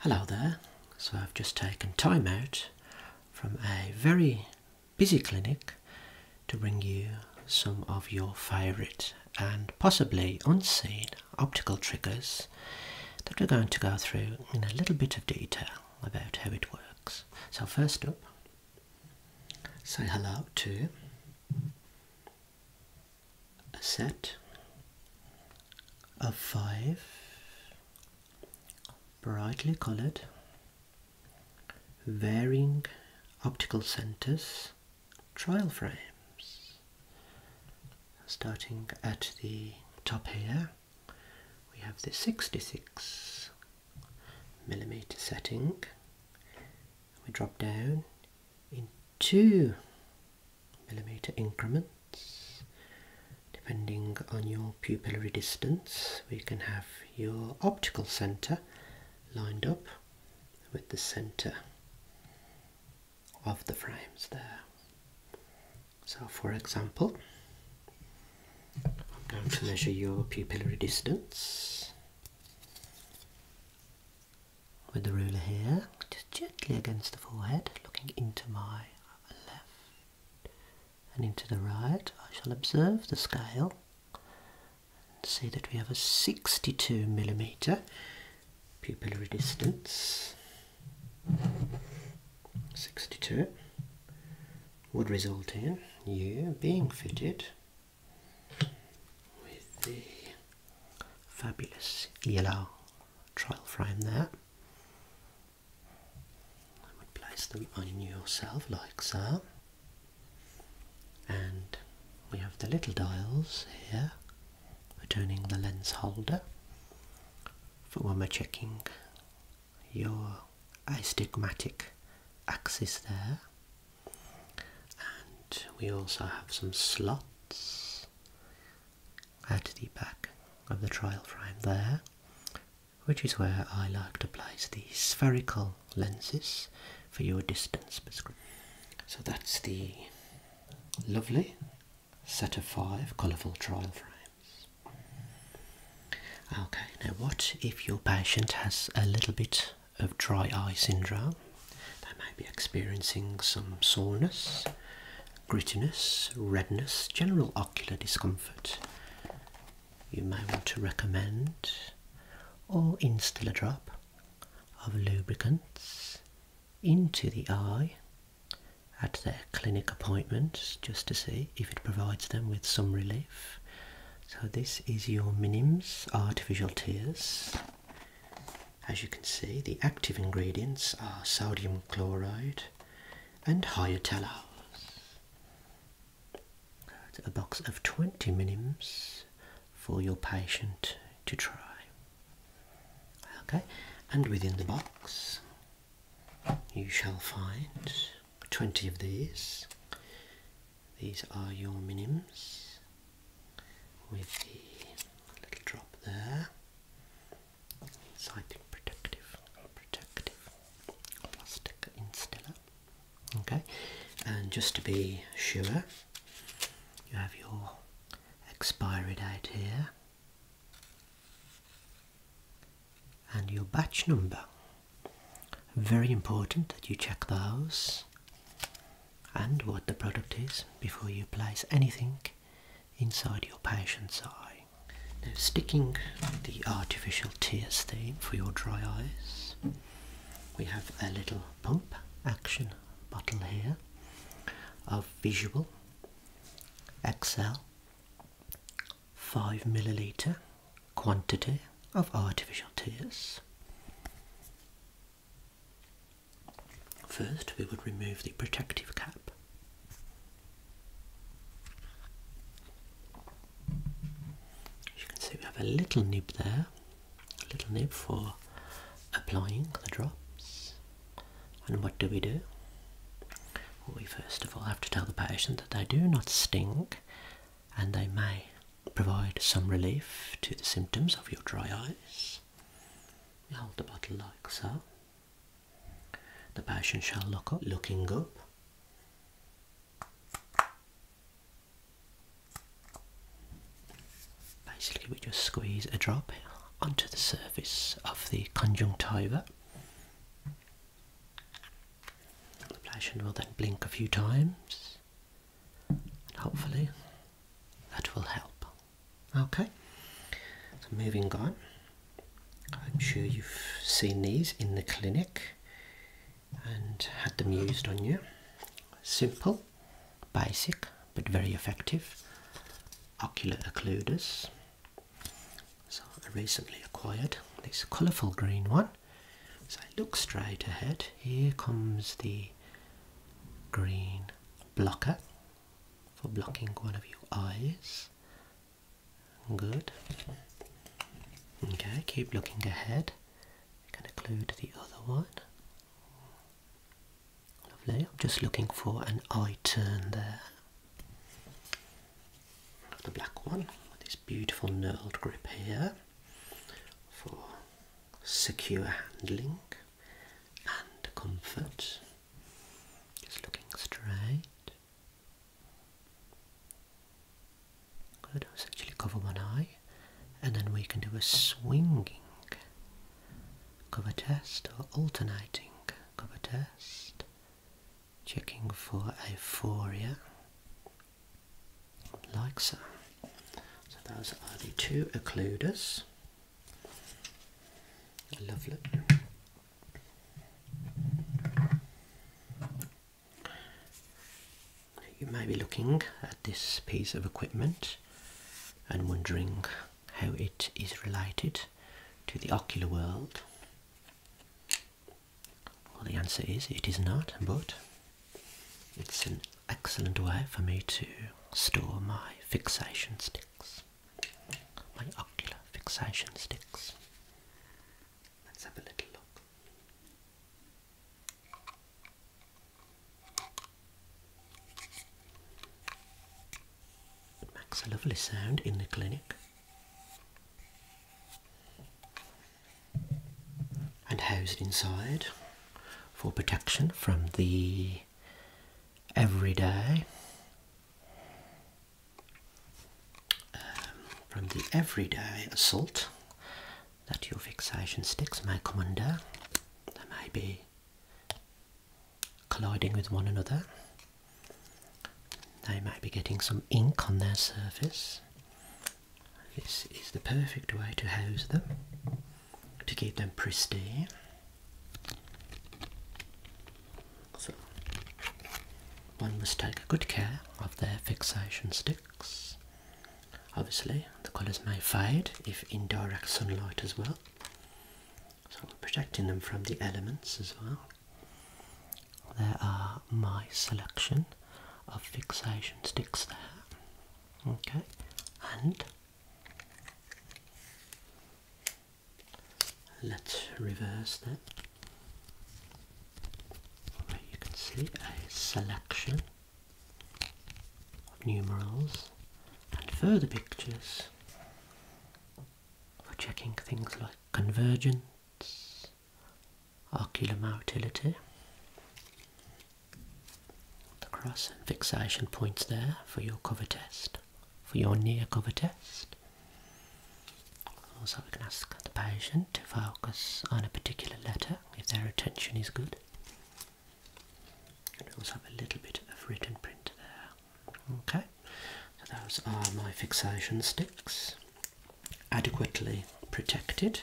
Hello there. So I've just taken time out from a very busy clinic to bring you some of your favourite and possibly unseen optical triggers that we're going to go through in a little bit of detail about how it works. So first up, say hello to a set of five brightly colored varying optical centers trial frames starting at the top here we have the 66 millimeter setting we drop down in two millimeter increments. Depending on your pupillary distance, we can have your optical center lined up with the center of the frames there. So, for example, I'm going to measure your pupillary distance with the ruler here just gently against the forehead, looking into my left and into the right. I shall observe the scale and see that we have a 62 millimeter pupillary distance. 62 would result in you being fitted with the fabulous yellow trial frame there I would place them on yourself like so. And we have the little dials here for turning the lens holder for when we're checking your astigmatic axis there. And we also have some slots at the back of the trial frame there, which is where I like to place the spherical lenses for your distance prescription. So that's the lovely set of five colourful trial frames. Okay, now what if your patient has a little bit of dry eye syndrome? They may be experiencing some soreness grittiness, redness, general ocular discomfort. You might want to recommend or instill a drop of lubricants into the eye at their clinic appointments just to see if it provides them with some relief. So, this is your Minims Artificial Tears. As you can see, the active ingredients are sodium chloride and hyalutalos. It's a box of 20 minims for your patient to try. Okay, and within the box you shall find 20 of these. These are your minims with the little drop there. Citing protective, protective plastic instiller. Okay, and just to be sure, you have your expired date here and your batch number. Very important that you check those and what the product is before you apply anything inside your patient's eye. Now sticking the artificial tear stain for your dry eyes, we have a little pump action bottle here of Visual XL 5 milliliter quantity of artificial tears. First, we would remove the protective cap. As you can see, we have a little nib there, a little nib for applying the drops. And what do we do? we first of all have to tell the patient that they do not sting and they may provide some relief to the symptoms of your dry eyes. You hold the bottle like so. The patient shall look up, looking up. Basically, we just squeeze a drop onto the surface of the conjunctiva. The patient will then blink a few times, and hopefully, that will help. Okay, so moving on. I'm sure you've seen these in the clinic and had them used on you. Simple, basic, but very effective ocular occluders. So I recently acquired this colourful green one. So I look straight ahead. Here comes the green blocker for blocking one of your eyes. Good. Okay, keep looking ahead. Can include the other one. Lovely. I'm just looking for an eye turn there. The black one with this beautiful knurled grip here for secure handling and comfort. Just looking straight. Good, let actually cover one eye and then we can do a swinging cover test or alternating cover test. Checking for aphoria. Like so. So those are the two occluders. Lovely. You may be looking at this piece of equipment and wondering how it is related to the ocular world. Well, the answer is it is not, but it's an excellent way for me to store my fixation sticks my ocular fixation sticks. Let's have a little look. makes a lovely sound in the clinic. And it inside for protection from the every day. Um, from the everyday assault that your fixation sticks my commander, they may be colliding with one another, they might be getting some ink on their surface. This is the perfect way to hose them to keep them pristine. So, one must take good care of their fixation sticks. Obviously, the colours may fade if in direct sunlight as well. So, protecting them from the elements as well. There are my selection of fixation sticks there. Okay, and Let's reverse that. you can see a selection of numerals and further pictures for checking things like convergence, ocular motility, the cross and fixation points there for your cover test for your near cover test. Also, we can ask the patient to focus on a particular letter if their attention is good. And we also have a little bit of written print there. Okay, so those are my fixation sticks, adequately protected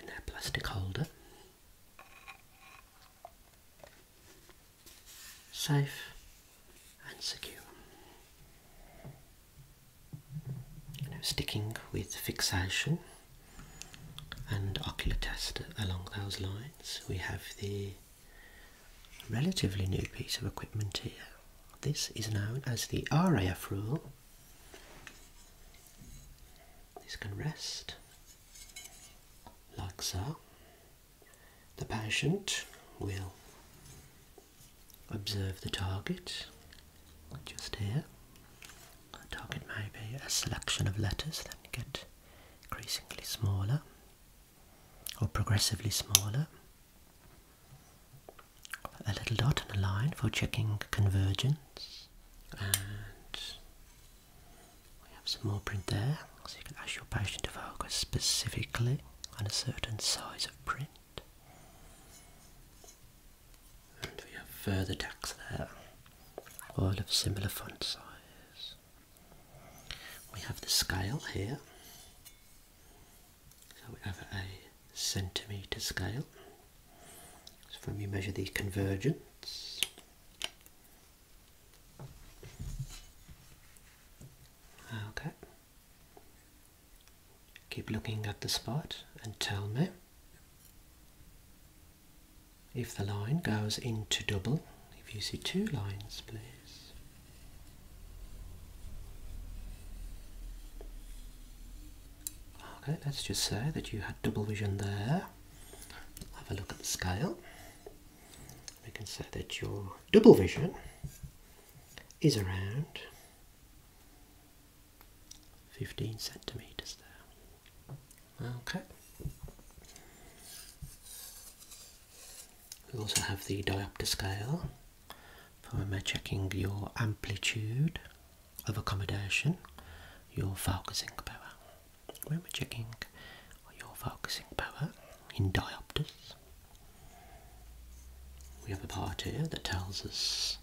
in their plastic holder safe and secure. sticking with fixation and ocular test along those lines, we have the relatively new piece of equipment here. This is known as the RAF rule. This can rest like so. The patient will observe the target just here. The target may be a selection of letters that get increasingly smaller or progressively smaller. A little dot and a line for checking convergence. And we have some more print there, so you can ask your patient to focus specifically on a certain size of print. And we have further text there, all of similar font size. We have the scale here, so we have a centimetre scale so from you measure these convergents. Okay. Keep looking at the spot and tell me if the line goes into double. If you see two lines, please. Okay, let's just say that you had double vision there have a look at the scale. We can say that your double vision is around 15 centimetres there. Okay. We also have the diopter scale for when we're checking your amplitude of accommodation, your focusing power. When we're checking your focusing power in diopters, we have a part here that tells us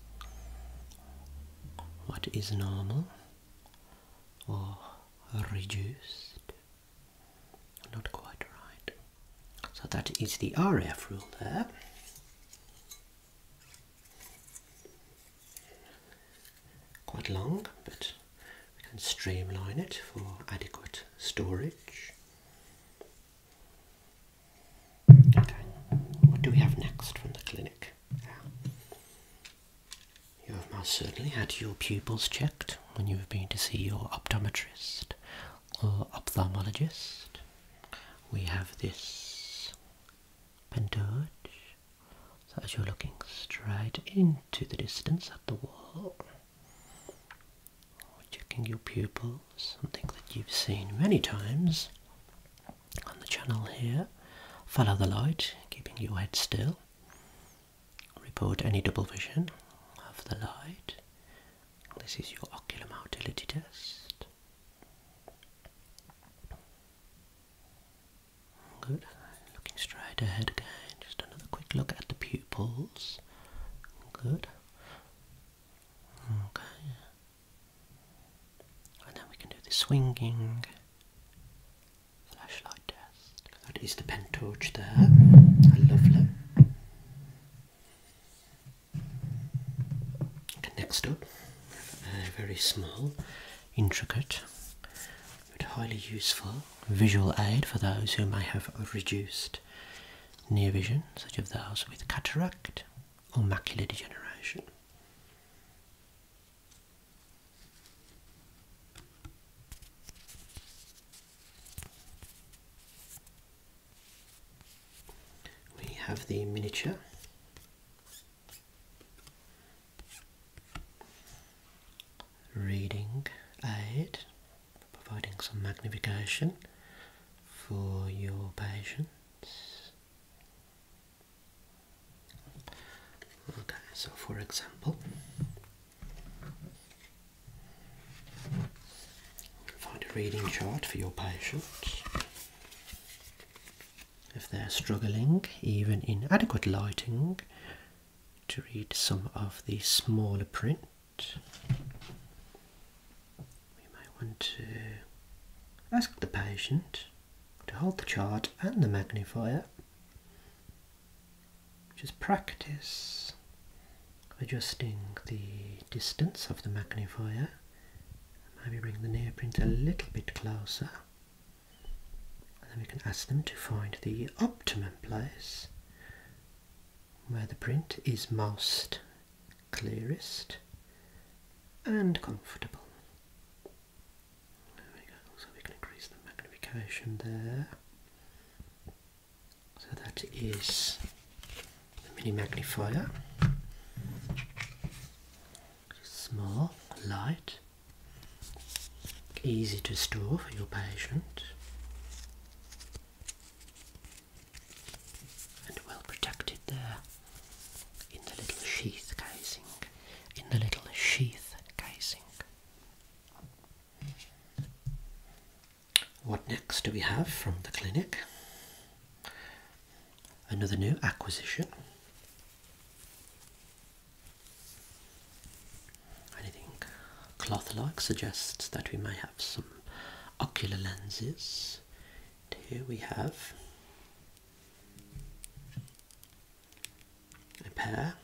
what is normal or reduced. Not quite right. So that is the RF rule there. Quite long, but we can streamline it for adequate storage. Okay, what do we have next from the clinic? You have most certainly had your pupils checked when you have been to see your optometrist or ophthalmologist. We have this pendurge so as you're looking straight into the distance at the wall, checking your pupils, something that you've seen many times on the channel here, follow the light, keeping your head still, report any double vision of the light. This is your ocular motility test. Good. Looking straight ahead again. Just another quick look at the pupils. Good. Okay. And then we can do the swinging flashlight test. That is the pentorch there. Lovely. next up, very small intricate but highly useful visual aid for those who may have reduced near vision, such as those with cataract or macular degeneration. We have the miniature reading aid, providing some magnification for your patients. Okay, so for example, find a reading chart for your patients if they're struggling, even in adequate lighting, to read some of the smaller print. We may want to ask the patient to hold the chart and the magnifier. Just practice adjusting the distance of the magnifier. Maybe bring the near print a little bit closer. And then we can ask them to find the optimum place where the print is most clearest and comfortable. There we go, so we can increase the magnification there. So that is the mini magnifier small, light, easy to store for your patient, and well protected there in the little sheath casing. In the little sheath casing. What next do we have from the clinic? Another new acquisition. Anything cloth-like suggests that we may have some ocular lenses. here we have a pair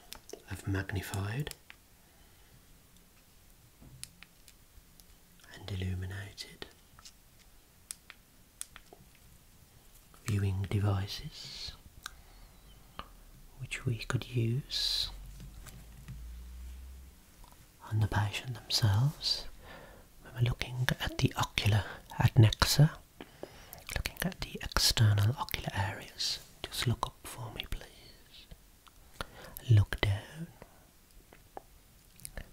of magnified and illuminated viewing devices which we could use on the patient themselves we're looking at the ocular adnexa looking at the external ocular areas just look up for me please look down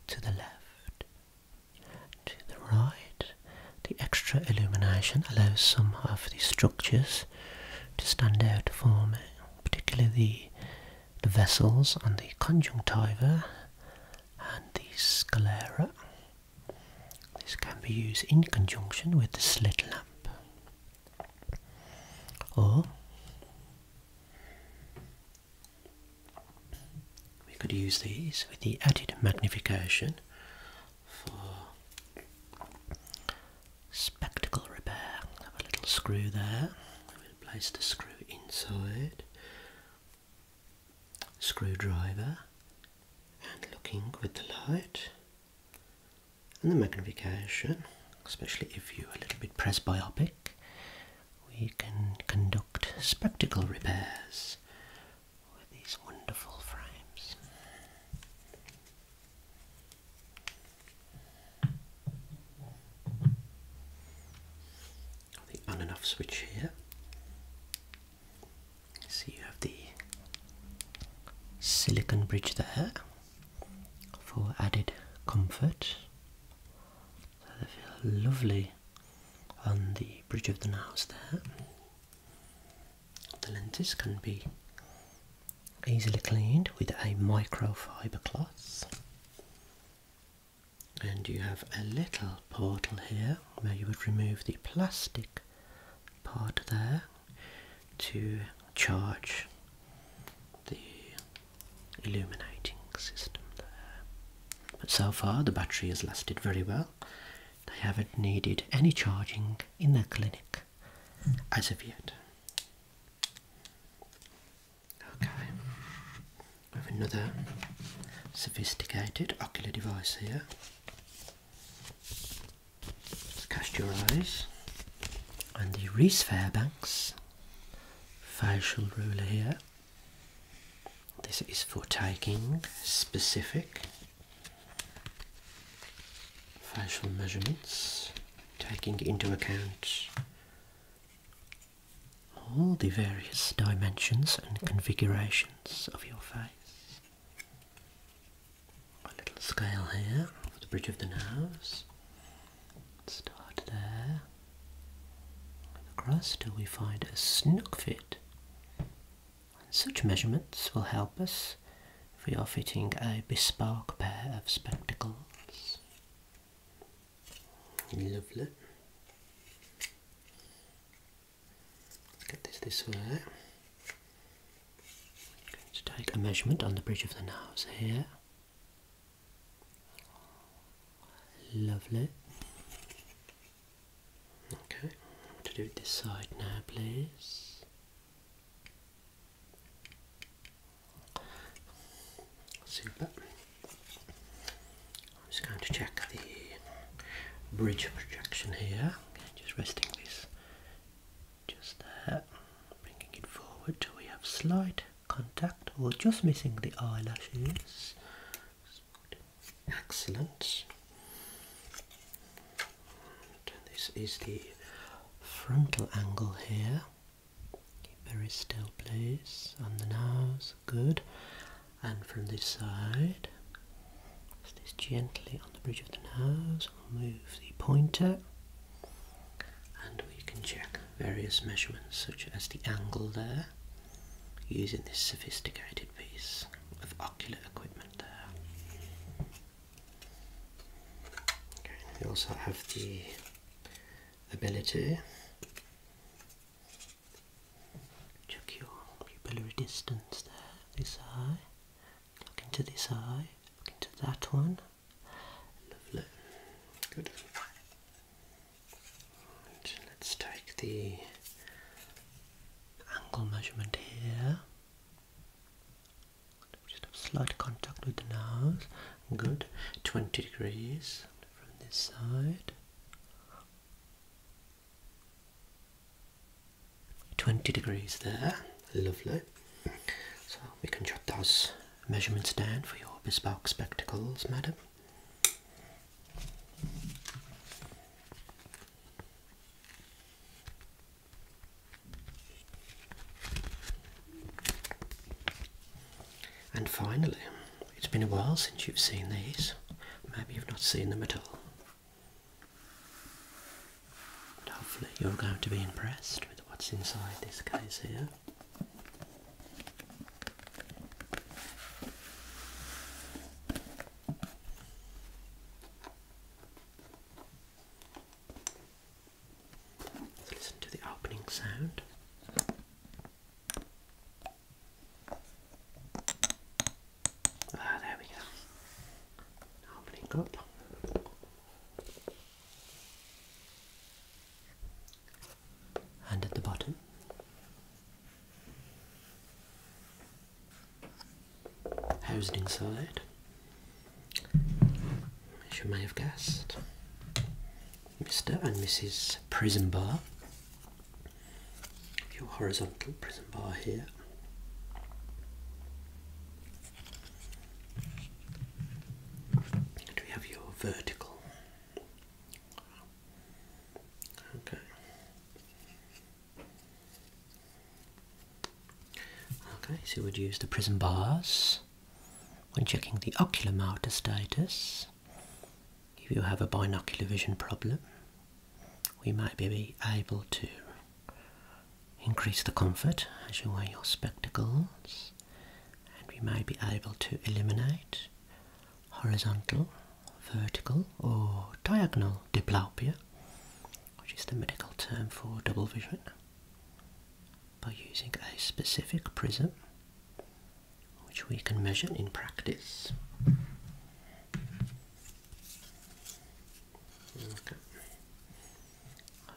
to the left to the right, the extra illumination allows some of the structures to stand out for me, particularly the, vessels on the conjunctiva and the sclera. This can be used in conjunction with the slit lamp. Or we could use these with the added magnification for spectacle repair. Have a little screw there. We'll place the screw inside. Screwdriver and looking with the light and the magnification, especially if you're a little bit presbyopic, we can conduct spectacle repairs with these wonderful frames. The on and off switch here. So you have the silicon bridge there for added comfort they feel lovely on the bridge of the nose there. The lenses can be easily cleaned with a microfiber cloth. And you have a little portal here where you would remove the plastic part there to charge the illuminating system there. But so far, the battery has lasted very well. They haven't needed any charging in their clinic as of yet. Okay, we have another sophisticated ocular device here. Just cast your eyes on the Reese Fairbanks facial ruler here this is for taking specific facial measurements, taking into account all the various dimensions and configurations of your face. A little scale here for the bridge of the nose. Start there across till we find a snug fit such measurements will help us if we are fitting a bespoke pair of spectacles. Lovely. Let's get this this way. going to take a measurement on the bridge of the nose here. Lovely. Okay, to do this side now, please. Super. I'm just going to check the bridge projection here. just resting this just there, bringing it forward till we have slight contact or just missing the eyelashes. Excellent. this is the frontal angle here. very still, please. On the nose, good. And from this side, just this gently on the bridge of the nose. We'll move the pointer, and we can check various measurements such as the angle there using this sophisticated piece of ocular equipment there. Okay, we also have the ability check your pupillary distance there, this eye. Look into this eye, look into that one. Lovely. Good let's take the angle measurement here. just have slight contact with the nose. Good. 20 degrees from this side. 20 degrees there. Lovely. So we can jot those measurements down for your bespoke spectacles, madam. And finally, it's been a while since you've seen these. Maybe you've not seen them at all. hopefully, you're going to be impressed with what's inside this case here. Let's listen to the opening sound. Ah, there we go. Opening up. And at the bottom, Housed inside, as you may have guessed, Mr. and Mrs. Prison Bar. Your horizontal prison bar here. And we have your vertical Okay. Okay, so we'd use the prism bars when checking the ocular motor status. If you have a binocular vision problem, we might be able to increase the comfort as you wear your spectacles, and we may be able to eliminate horizontal vertical or diagonal diplopia, which is the medical term for double vision, by using a specific prism which we can measure in practice.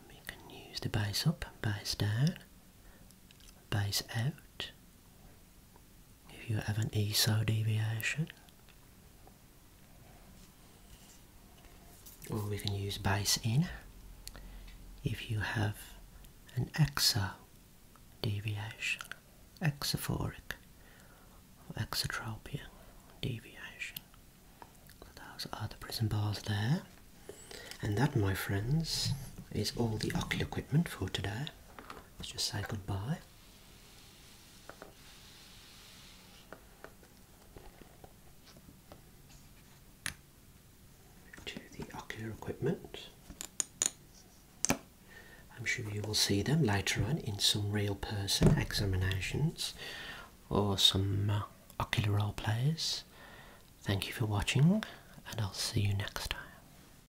we can use the base up, base down, base out, if you have an ESO deviation. Or we can use base in if you have an exo deviation, exophoric, exotropia deviation. those are the prism bars there. And that, my friends, is all the ocular equipment for today. Let's just say goodbye. To the ocular equipment. I'm sure you will see them later on in some real person examinations or some uh, ocular role plays. Thank you for watching, and I'll see you next time.